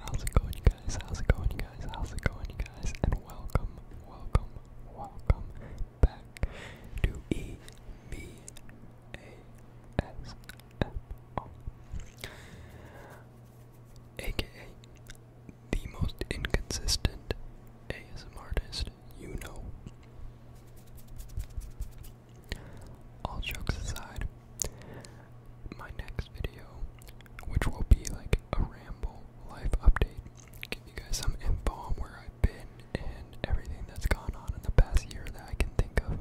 How's it going, you guys? How's it going, you guys? How's it going, you guys? And welcome, welcome, welcome back to EVASMR, aka the most inconsistent ASM artist you know. All jokes aside, my next video, which will be like a ramble life update, give you guys some info on where I've been and everything that's gone on in the past year that I can think of.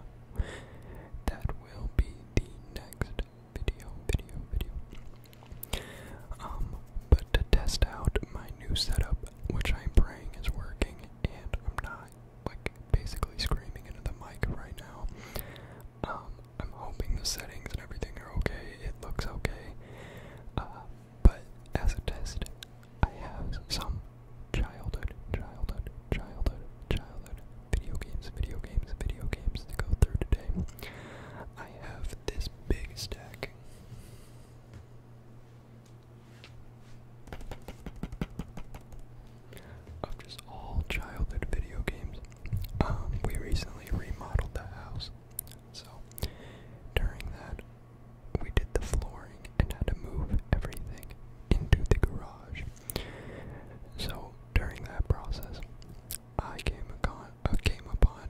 That will be the next video, video, video. Um, but to test out my new setup, which I'm praying is working, and I'm not like basically screaming into the mic right now. Um, I'm hoping the settings and everything are okay. It looks okay. Uh, but as a test, I have some childhood, childhood, childhood, childhood video games, video games, video games to go through today. I have this big stack of just all childhood video games. Um, we recently remodeled the house, so during that, we did the flooring and had to move everything into the garage. So during that process, I came upon, uh, came upon,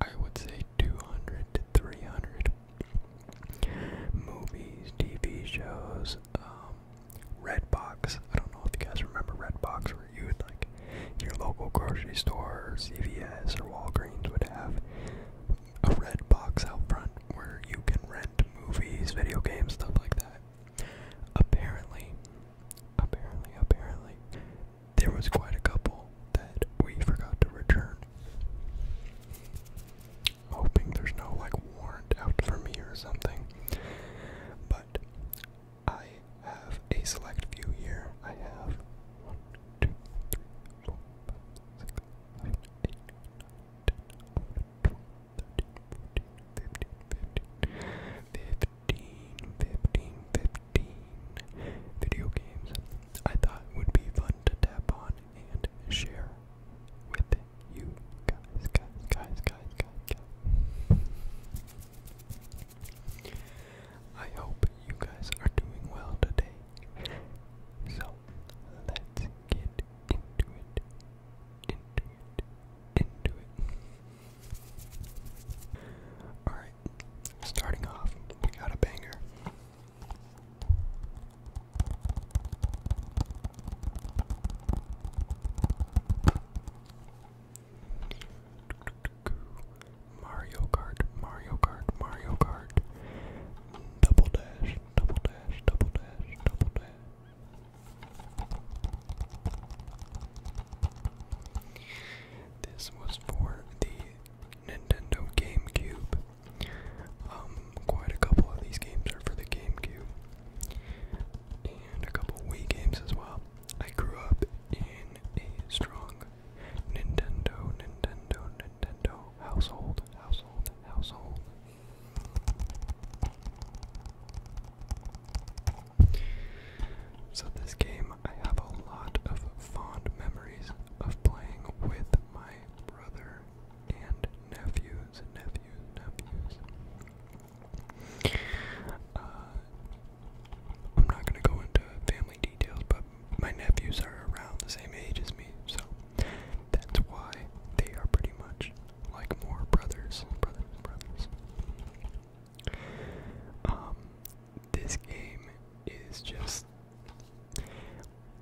I would say, 200 to 300 movies, TV shows, um, Redbox. I don't know if you guys remember Redbox, where you would like your local grocery store, CVS, or Walgreens would have a red box out front where you can rent movies, video games, stuff like that. Apparently, apparently, apparently, there was quite a couple that we forgot to return hoping there's no like warrant out for me or something. But I have a select few here. I have one, two, three, four, five, six, seven, eight, nine, video games I thought would be fun to tap on and share with you guys, guys, guys, guys, guys, guys. I hope you guys are doing well today. So let's get into it, into it, into it. Alright, starting off, we got a banger. Mario Kart, Mario Kart, Mario Kart. Double dash, double dash, double dash, double dash. This was for the Nintendo GameCube. Um, quite a couple of these games are for the GameCube, and a couple Wii games as well. I grew up in a strong Nintendo, Nintendo, Nintendo household, household, household. So, this game I have a lot of fond memories of playing with my brother and nephews, nephews, nephews. Uh, I'm not gonna go into family details, but my nephews are around the same age as me, so that's why they are pretty much like more brothers, brothers, brothers. Um, this game is just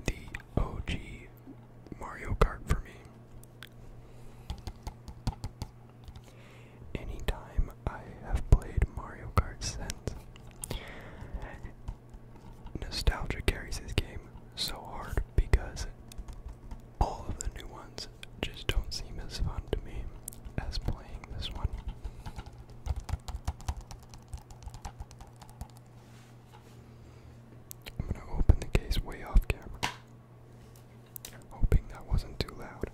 the OG Mario Kart for me. Anytime I have played Mario Kart since, nostalgia carries this game so hard because all of the new ones just don't seem as fun to me as playing this one. I'm gonna open the case way off camera, hoping that wasn't too loud.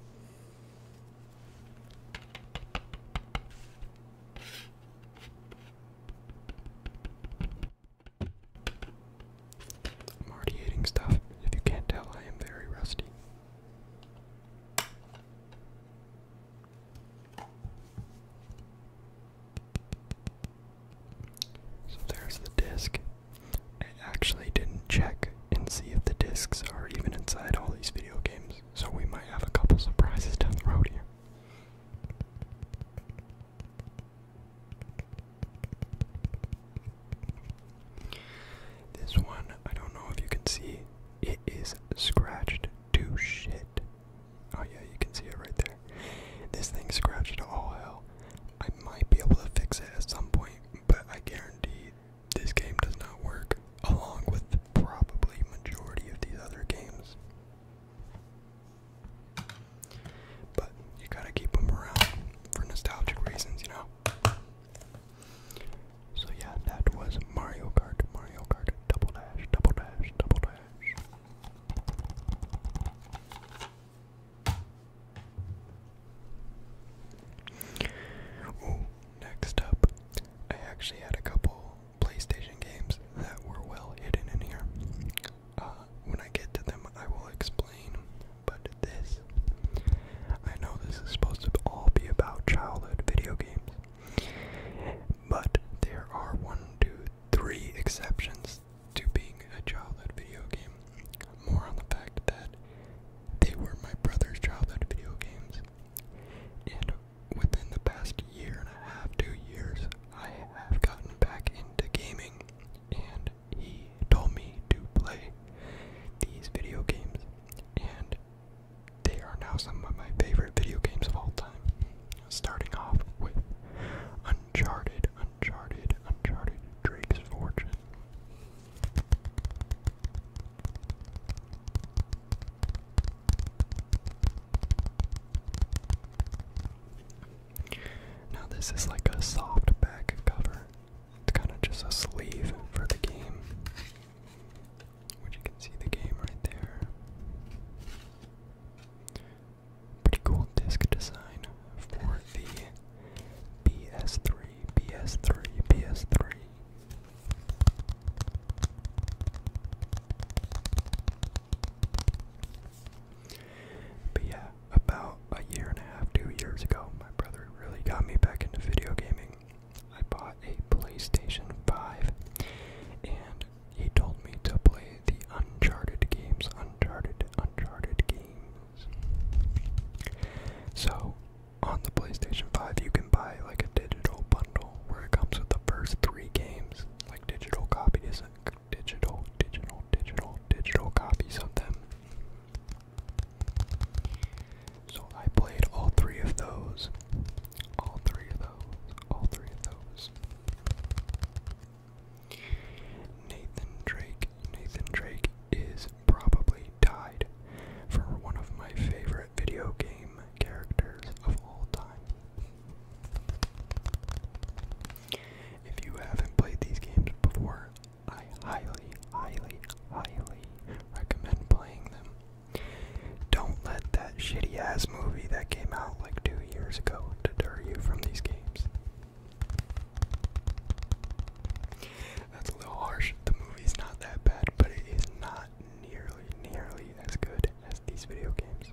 I'm already eating stuff. If you can't tell, I am very rusty. So there's the disc. I actually didn't check and see if the discs are even inside all these video games, so we might have a couple surprises down the road here. This one, I don't know if you can see, it is scratched to shit. Oh yeah, you can see it right there. This thing scratched all hell. I might be able to fix it at some point, but I guarantee this game does not work along with probably majority of these other games. But you gotta keep them around for nostalgic reasons, you know. So yeah, that was Mario Kart, Mario Kart, double dash, double dash, double next up, I actually had a couple PlayStation games that were well hidden in here. Uh, when I get to them, I will explain. But this, I know this is supposed to all be about childhood video games, but there are one, two, three exceptions to being a childhood video game. More on the fact that they were my brother's childhood video games. And within the past year and a half, two years, I have gotten back into gaming. And he told me to play these video games. And they are now some of my favorite video games of all time. Starting off with Uncharted, Uncharted, Uncharted, Drake's Fortune. Now, this is like a soft back cover. It's kind of just a sleeve for the game which you can see the game right there. Pretty cool disc design for the PS3, PS3, PS3. But yeah, about a year and a half, two years ago, my brother really got me back into video gaming. I bought a PlayStation 5 and he told me to play the Uncharted games, Uncharted, Uncharted games. So, on the PlayStation 5, you can buy like a digital bundle where it comes with the first three games, like digital copies, digital, digital, digital, digital copies of them. So I played all three of those, all three of those. All three of those. Nathan Drake. Nathan Drake is probably tied for one of my favorite video game characters of all time. If you haven't played these games before, I highly, highly, highly recommend playing them. Don't let that shitty ass movie that came out like two years ago deter you from these games. That's a little harsh. The movie's not that bad, but it is not nearly, nearly as good as these video games.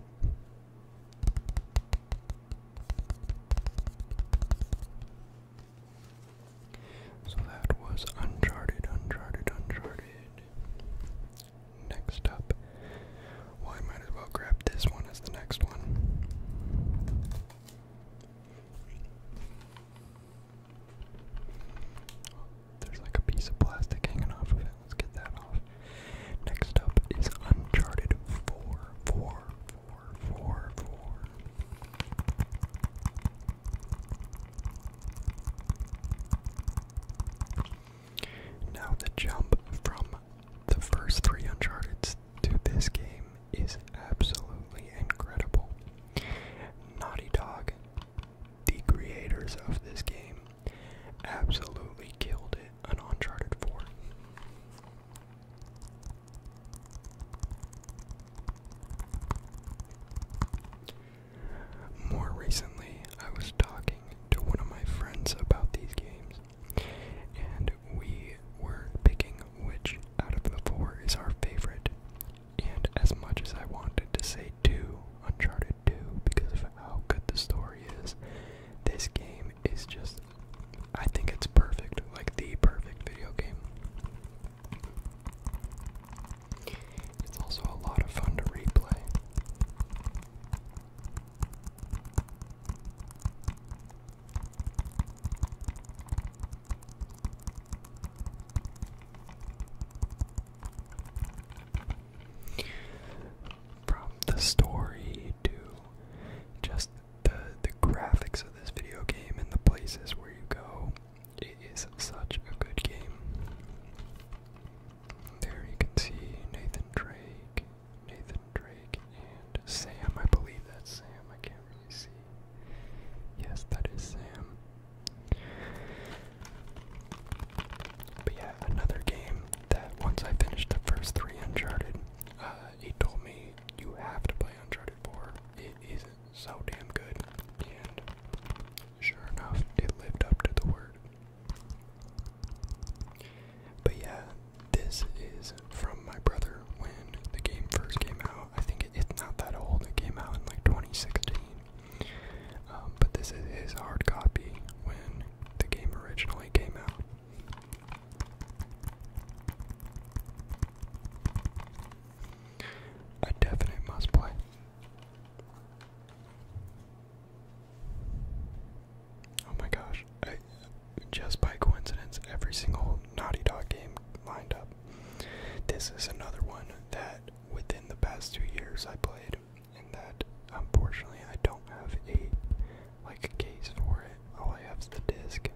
So that was Uncharted, Uncharted, Uncharted. Next up, well, might as well grab this one as the next one. there's like a piece of plastic hanging off of it. Let's get that off. Next up is Uncharted 4. Now, the jump from the first three Uncharted to this game is absolutely incredible. Naughty Dog, the creators of this game, absolutely killed it on Uncharted 4. More recently, I was talking to one of my friends about these games, and we were picking which out of the four is our favorite. And as much as I wanted to say 2, Uncharted 2, because of how good the story is, this game is just. I think it's perfect, like the perfect video game. It's also a lot of fun to replay. From the story to just the the graphics of this video game and the places where you go, it is such a good game. There you can see Nathan Drake, Nathan Drake, and Sam. I believe that's Sam. I can't really see. Yes, that is Sam. But yeah, another game that once I finished the first three Uncharted, uh, he told me you have to play Uncharted 4. It is so damn good. Sure enough, it lived up to the word. But yeah, this is from my brother when the game first came out. I think it's not that old, it came out in like 2016. Um, but this is his hard copy when the game originally came out. A definite must play. Oh my gosh. I, just by coincidence, every single Naughty Dog game lined up. This is another one that within the past two years I played, and that unfortunately I don't have a like a case for it. All I have is the disc.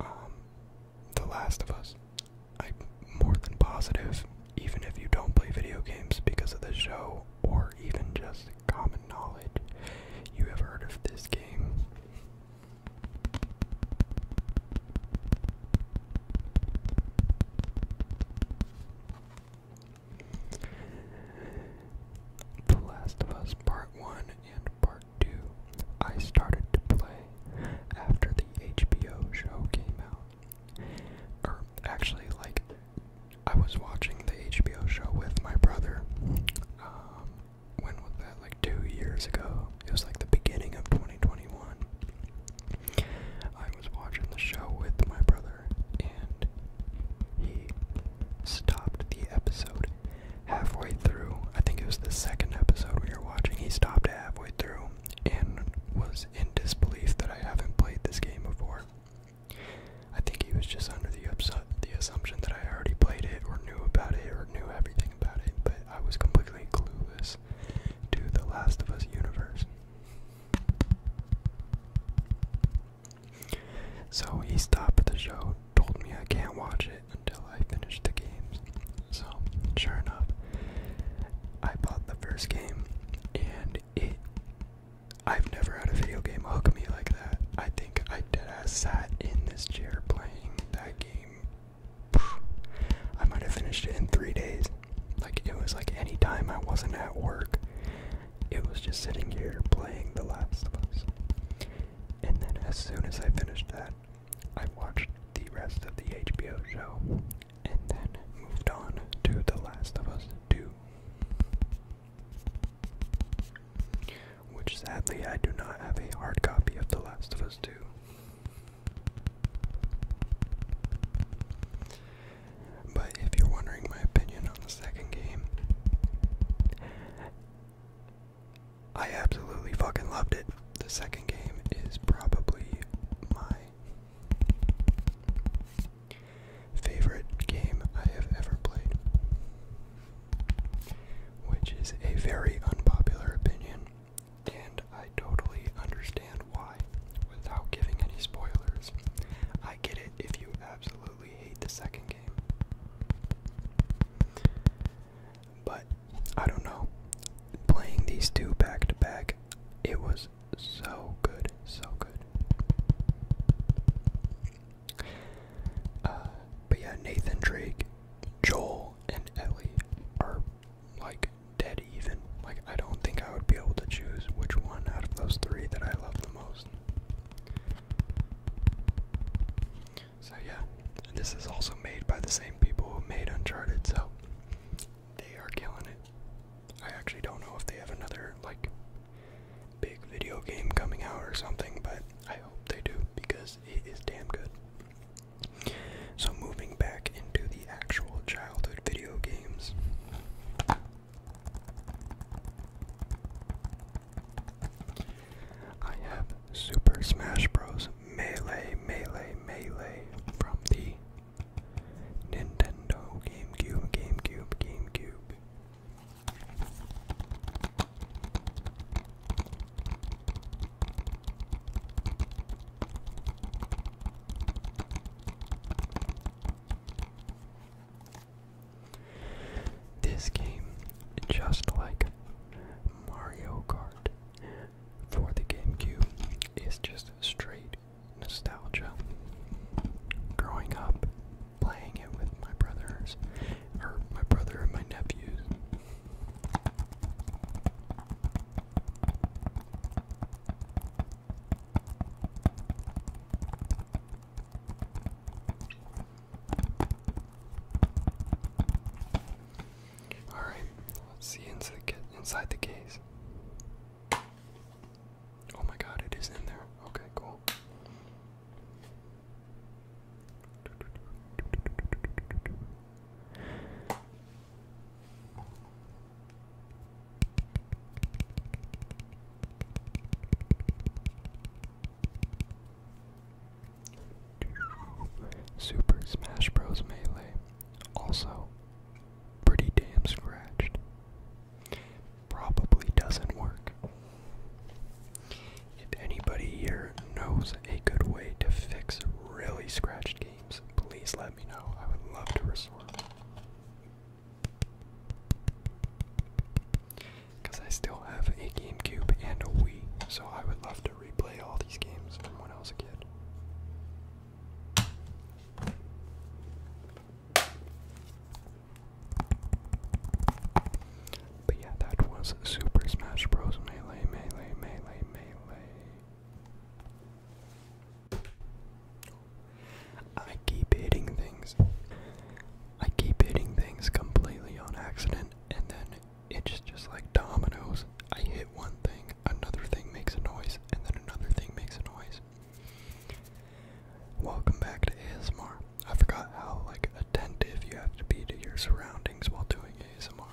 Um, The Last of Us. I'm more than positive, even if you don't play video games because of the show or even just common knowledge, you have heard of this game. The Last of Us Part 1 and Part 2 I started to play after the HBO show came out. Or actually, like, I was watching the HBO show with my brother. Um, when was that? Like two years ago. It was like the beginning of 2021. I was watching the show with my brother, and he stopped the episode halfway through. I think it was the second episode we were watching. He stopped halfway through and was in disbelief that I haven't played this game before. I think he was just under the, the assumption that I already played it or knew about it or knew everything about it, but I was completely clueless to the Last of Us universe. So he stopped the show, told me I can't watch it until I finish the games, so, sure enough, I bought the first game, and it. I've never had a video game hook me like that. I think I did. I sat in this chair playing that game. I might have finished it in three days. Like, it was like any time I wasn't at work, it was just sitting here playing The Last of Us. And then, as soon as I finished that, I watched the rest of the HBO show and then moved on to The Last of Us 2. Which sadly, I do not have a hard copy of The Last of Us 2. But if you're wondering my opinion on the second game, I absolutely fucking loved it. The second game is probably my Favorite game I have ever played, which is a very unpopular opinion, and I totally understand why without giving any spoilers. I get it if you absolutely hate the second game. But I don't know. Playing these two back to back, it was so good, so good. Uh, but yeah, Nathan Drake, Joel, and Ellie are like dead even. Like, I don't think I would be able to choose which one out of those three that I love the most. So, yeah, and this is also made by the same people who made Uncharted, so they are killing it. I actually don't know if they have another, like, big video game coming out or something, but I hope they do because it is damn good. So, moving back into the actual childhood video games. I have Super Smash Bros. Melee, Melee, Melee from the Nintendo, GameCube, GameCube, GameCube. This game, just like Mario Kart, for the GameCube it's just straight nostalgia. Growing up, playing it with my brothers, or my brother and my nephews. All right, let's see into the inside the case. Oh my God, it is in there. Okay, cool. Super Smash Bros. Melee also pretty damn scratched. Probably doesn't work. If anybody here knows a good way to fix really scratched games, please let me know. I would love to resort. Because I still have a GameCube and a Wii, so I would love to replay all these games from when I was a kid. But yeah, that was Super Smash Bros. Melee, Melee, Melee, Melee. I keep hitting things. I keep hitting things completely on accident, and then it's just like dominoes. I hit one thing, another thing makes a noise, and then another thing makes a noise. Welcome back to ASMR. I forgot how like attentive you have to be to your surroundings while doing ASMR.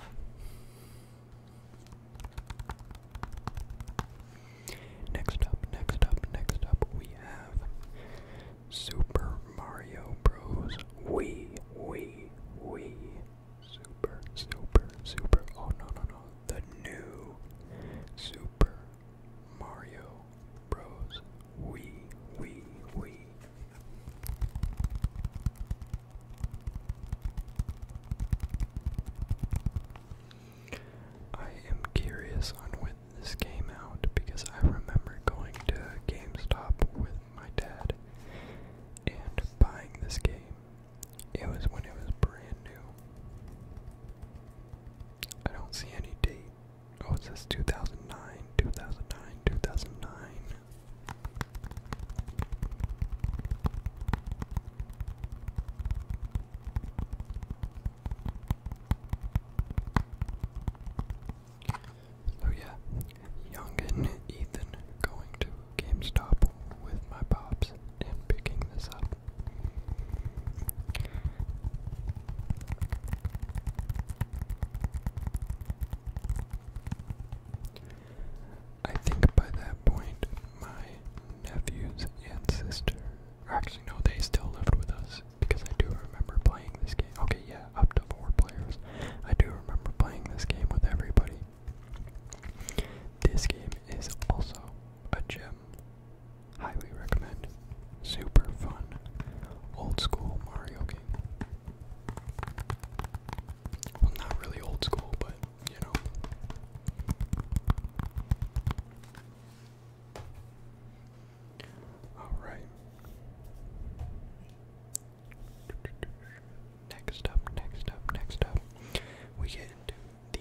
Next up, next up, next up, we have Super Mario Bros. Wii, Wii, Wii. Super, super, super. Oh no, no, no. The new Super Mario Bros. Wii, Wii, Wii. I am curious on when this came out because I remember going to GameStop with my dad and buying this game it was when it was brand new. I don't see any date. Oh, it says 2009, 2009, 2009. So yeah, Young and Ethan going to GameStop with my pops and picking this up. I think by that point, my nephews and sister, actually, no, they still lived with us because I do remember playing this game. Okay, yeah, up to four players. I do remember playing this game with everybody. This game is also a gem. Highly recommend. Super fun. Old school Mario game. Well, not really old school, but you know. Alright. Next up, next up, next up, we get into the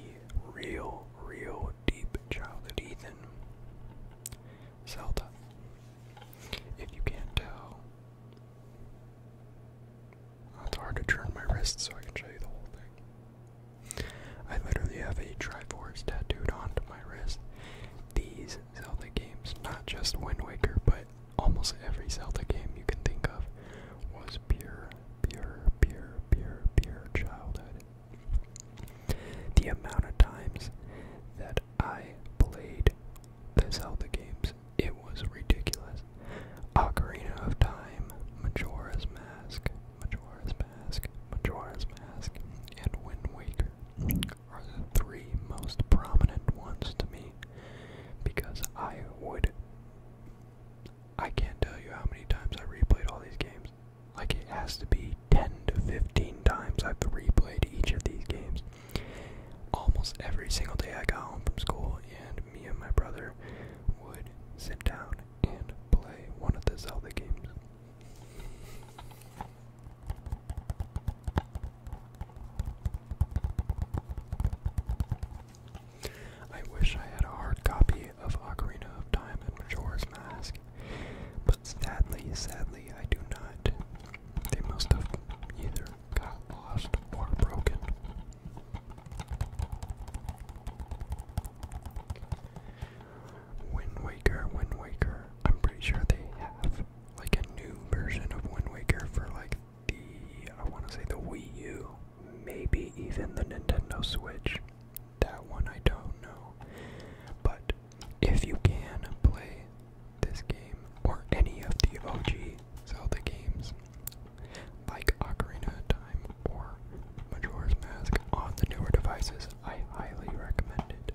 real, real deep childhood Ethan. Zelda. If you can't tell, it's hard to turn my wrist so I can show you the whole thing. I literally have a Triforce tattooed onto my wrist. These Zelda games, not just Wind Waker, but almost every Zelda game you can think of was pure, pure, pure, pure, pure childhood. The amount of times that I played the Zelda games, it was ridiculous. Ocarina of Time, Majora's Mask, Majora's Mask, Majora's Mask, and Wind Waker are the three most prominent ones to me because I would I can't tell you how many times I replayed all these games. Like, it has to be 10 to 15 times I've replayed each of these games. Almost every single day I got home from school, and me and my brother would sit down and play one of the Zelda games. I wish I had a hard copy of Ocarina of Time and Majora's Mask, but sadly, sadly, I do not. They must have either got lost or broken. Wind Waker, Wind Waker. I'm pretty sure they have like a new version of Wind Waker for like the I want to say the Wii U, maybe even the Nintendo Switch. That one I don't know. But if you can play this game or any of the OG Zelda games like Ocarina of Time or Majora's Mask on the newer devices, I highly recommend it.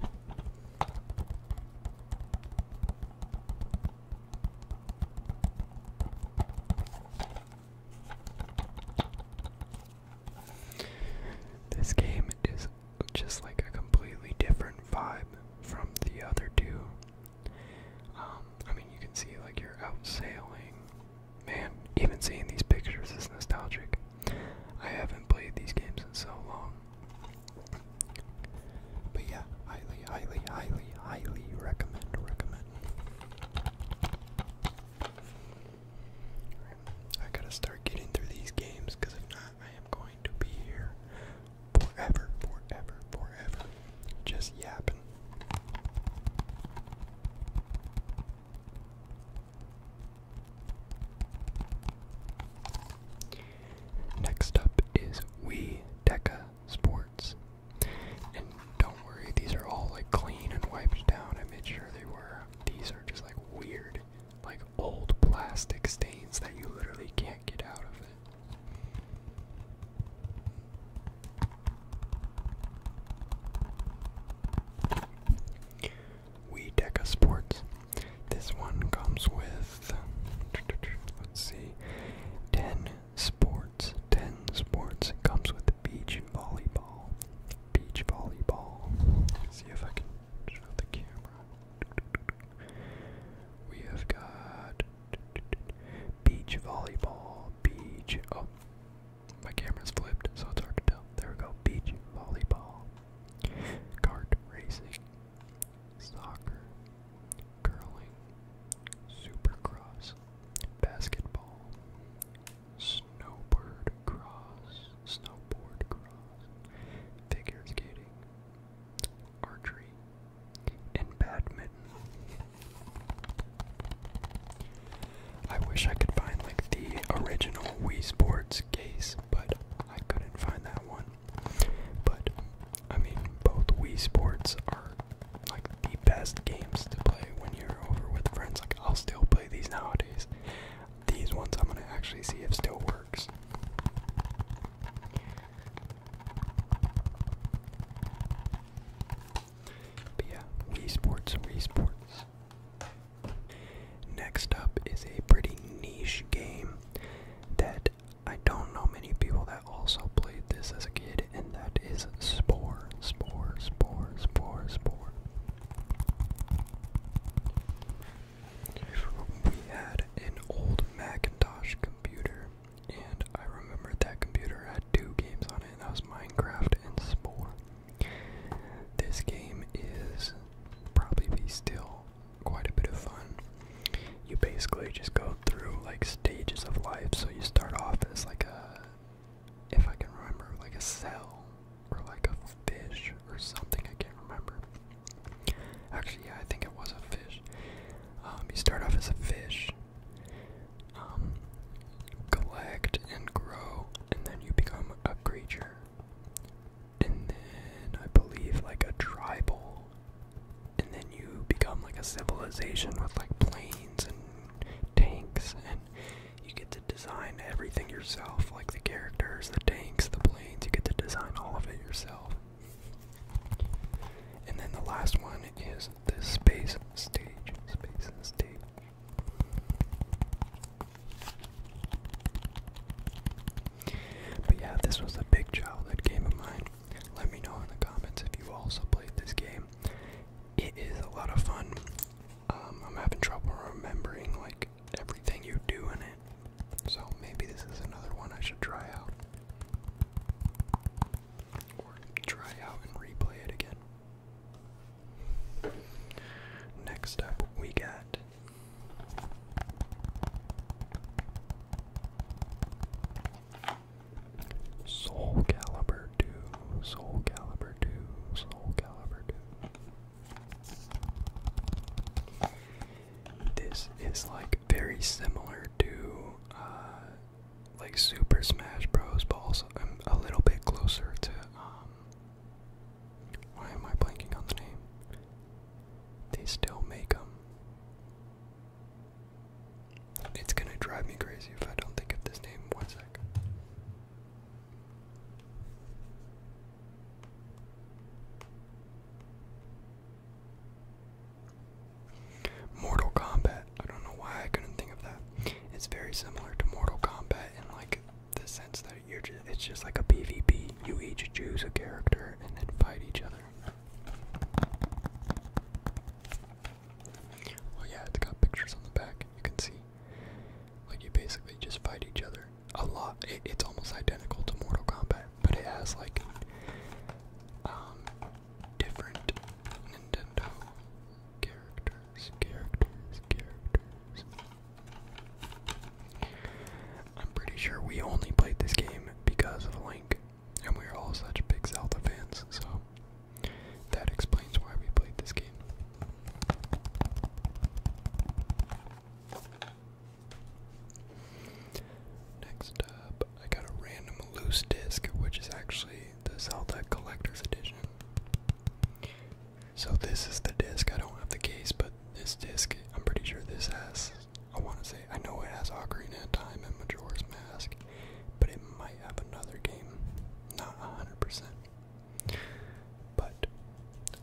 This game is just like a completely different vibe from the other two. Um, I mean, you can see like you're out sailing. Man, even seeing these pictures is nostalgic. I haven't played these games in so long. But yeah, highly, highly, highly, highly recommend, recommend. I gotta start getting through these games, because if not, I am going to be here forever, forever, forever. Just yapping. Next up is We Deca Sports and don't worry, these are all like clean and wiped down. I made sure they were. These are just like weird, like old plastic stains that you literally can't get out of it. We Deca Sports. This one comes with, let's see, 10 sports, 10 sports. It comes with beach volleyball. Beach volleyball. see if I can show the camera. We have got beach volleyball, beach. Oh, my camera's flipped, so it's hard to tell. There we go. Beach volleyball, kart racing, soccer, curling, supercross, basketball, snowboard cross, snowboard cross, figure skating, archery, and badminton. I wish I could find like the original Wii Sports case, but I couldn't find that one. But I mean, both Wii Sports are like the best games to play when you're over with friends. Like I'll still play these nowadays. These ones I'm gonna actually see if still works. But yeah, Wii Sports, Wii Sports. Next up is a pretty niche game that I don't know many people that also played this as a kid, and that is Spore, Spore, Spore, Spore, Spore. We had an old Macintosh computer, and I remember that computer had two games on it, that was Minecraft and Spore. This game is probably be still quite a bit of fun you basically just go through like stages of life. So you start off as like a, if I can remember, like a cell or like a fish or something. I can't remember. Actually, yeah, I think it was a fish. Um, you start off as a fish, um, collect and grow, and then you become a creature. And then I believe like a tribal and then you become like a civilization with like planes and tanks and you get to design everything yourself like the characters the tanks the planes you get to design all of it yourself and then the last one is the space stage space stage but yeah, this was a big childhood game of mine. Let me know in the comments if you also played this game. It is a lot of fun. Um, I'm having trouble remembering like everything you do in it, so maybe this is another one I should try out, or try out and replay it again. Next up, we got. Soul Calibur 2, Soul Calibur 2, Soul Calibur 2. This is like very similar to uh, like Super Smash Bros. but also um, a little bit closer to um, why am I blanking on the name? They still make them. It's gonna drive me crazy if I don't think of this name. One sec. Mortal Kombat. I don't know why I couldn't think of that. It's very similar to Mortal Kombat in like the sense that you're just, it's just like a PvP. You each choose a character and then fight each other. Oh yeah, it's got pictures on the back. You can see, like you basically just fight each other a lot. it's almost identical to Mortal Kombat, but it has like um, different Nintendo characters, characters, characters. I'm pretty sure we only played this game because of Link and we are all such big Zelda fans, so that explains why we played this game. Next up, I got a random loose disc, which is actually the Zelda Collector's Edition. So, this is the disc. I don't have the case, but this disc, I'm pretty sure this has I want to say I know it has Ocarina of Time and Majora's Mask, but it might have another game, not hundred percent. But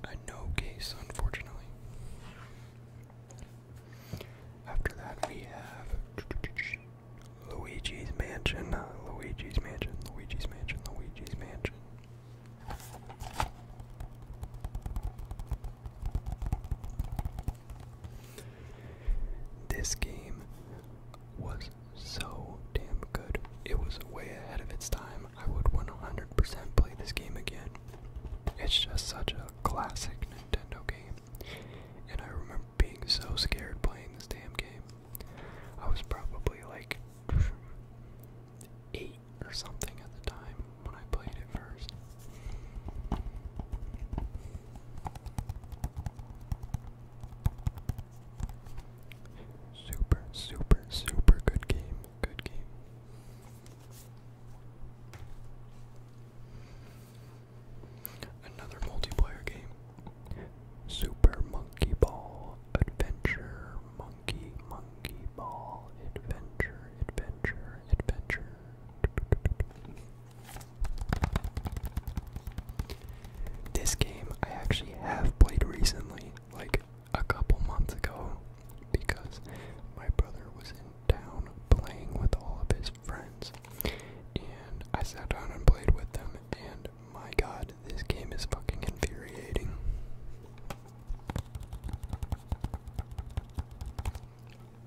I know, case, unfortunately. After that, we have Luigi's Mansion, Luigi's Mansion, Luigi's Mansion, Luigi's Mansion. This game was so damn good. It was way ahead of its time. I would 100% play this game again. It's just such a classic Nintendo game. And I remember being so scared playing this damn game. I was probably like 8 or something at the time when I played it first. Super, super, super good game. Good game. Another multiplayer game. Super Monkey Ball Adventure. Monkey, Monkey Ball Adventure, Adventure, Adventure. This game I actually have played recently, like a couple months ago, because my brother was in town playing with all of his friends. And I sat down and played with them, and my god, this game is fucking infuriating.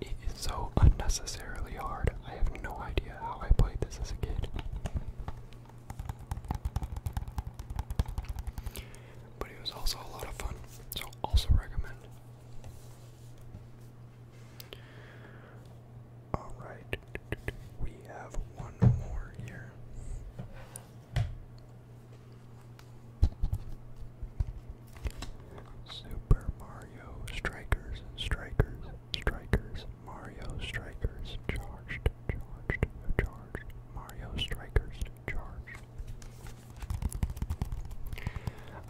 It is so unnecessarily hard. I have no idea how I played this as a kid. But it was also a lot of fun, so also recommend. Alright, we have one more here. Super Mario Strikers, Strikers, Strikers, Mario Strikers, charged, charged, charged, Mario Strikers, charged.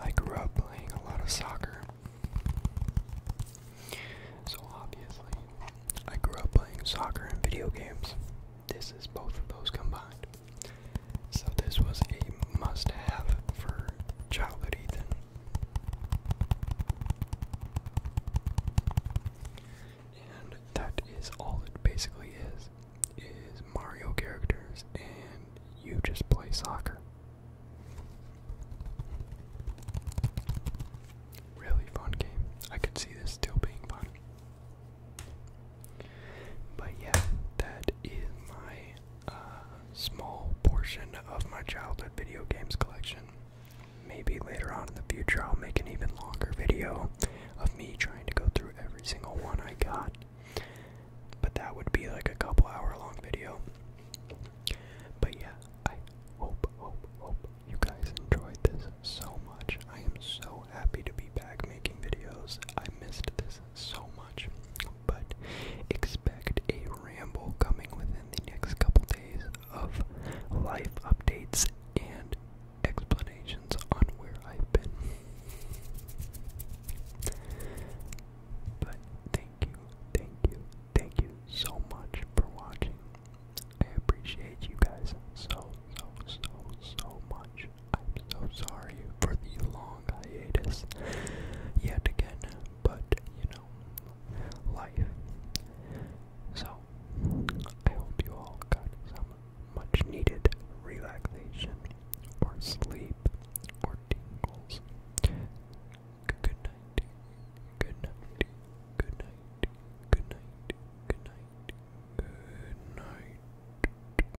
I grew up playing a lot of soccer. So obviously, I grew up playing soccer and video games. This is both of those combined. So this was a must-have for childhood Ethan. And that is all it basically is. Is Mario characters and you just play soccer. Really fun game. I could see this still being fun. But yeah, that is my uh, small portion of my childhood video games collection. Maybe later on in the future, I'll make an even longer video of me trying to go through every single one I got. But that would be like a couple hour long video. But yeah, I hope, hope, hope you guys enjoyed this so much. I am so happy to be back making videos. I missed this so much, but expect a ramble coming within the next couple days of life updates and explanations on where I've been. But thank you, thank you, thank you so much for watching. I appreciate you guys so, so, so, so much. I'm so sorry for the long hiatus yet again, but you know, life. So, I hope you all got some much needed relaxation, or sleep, or tingles. Good night, good night, good night, good night, good night, good night.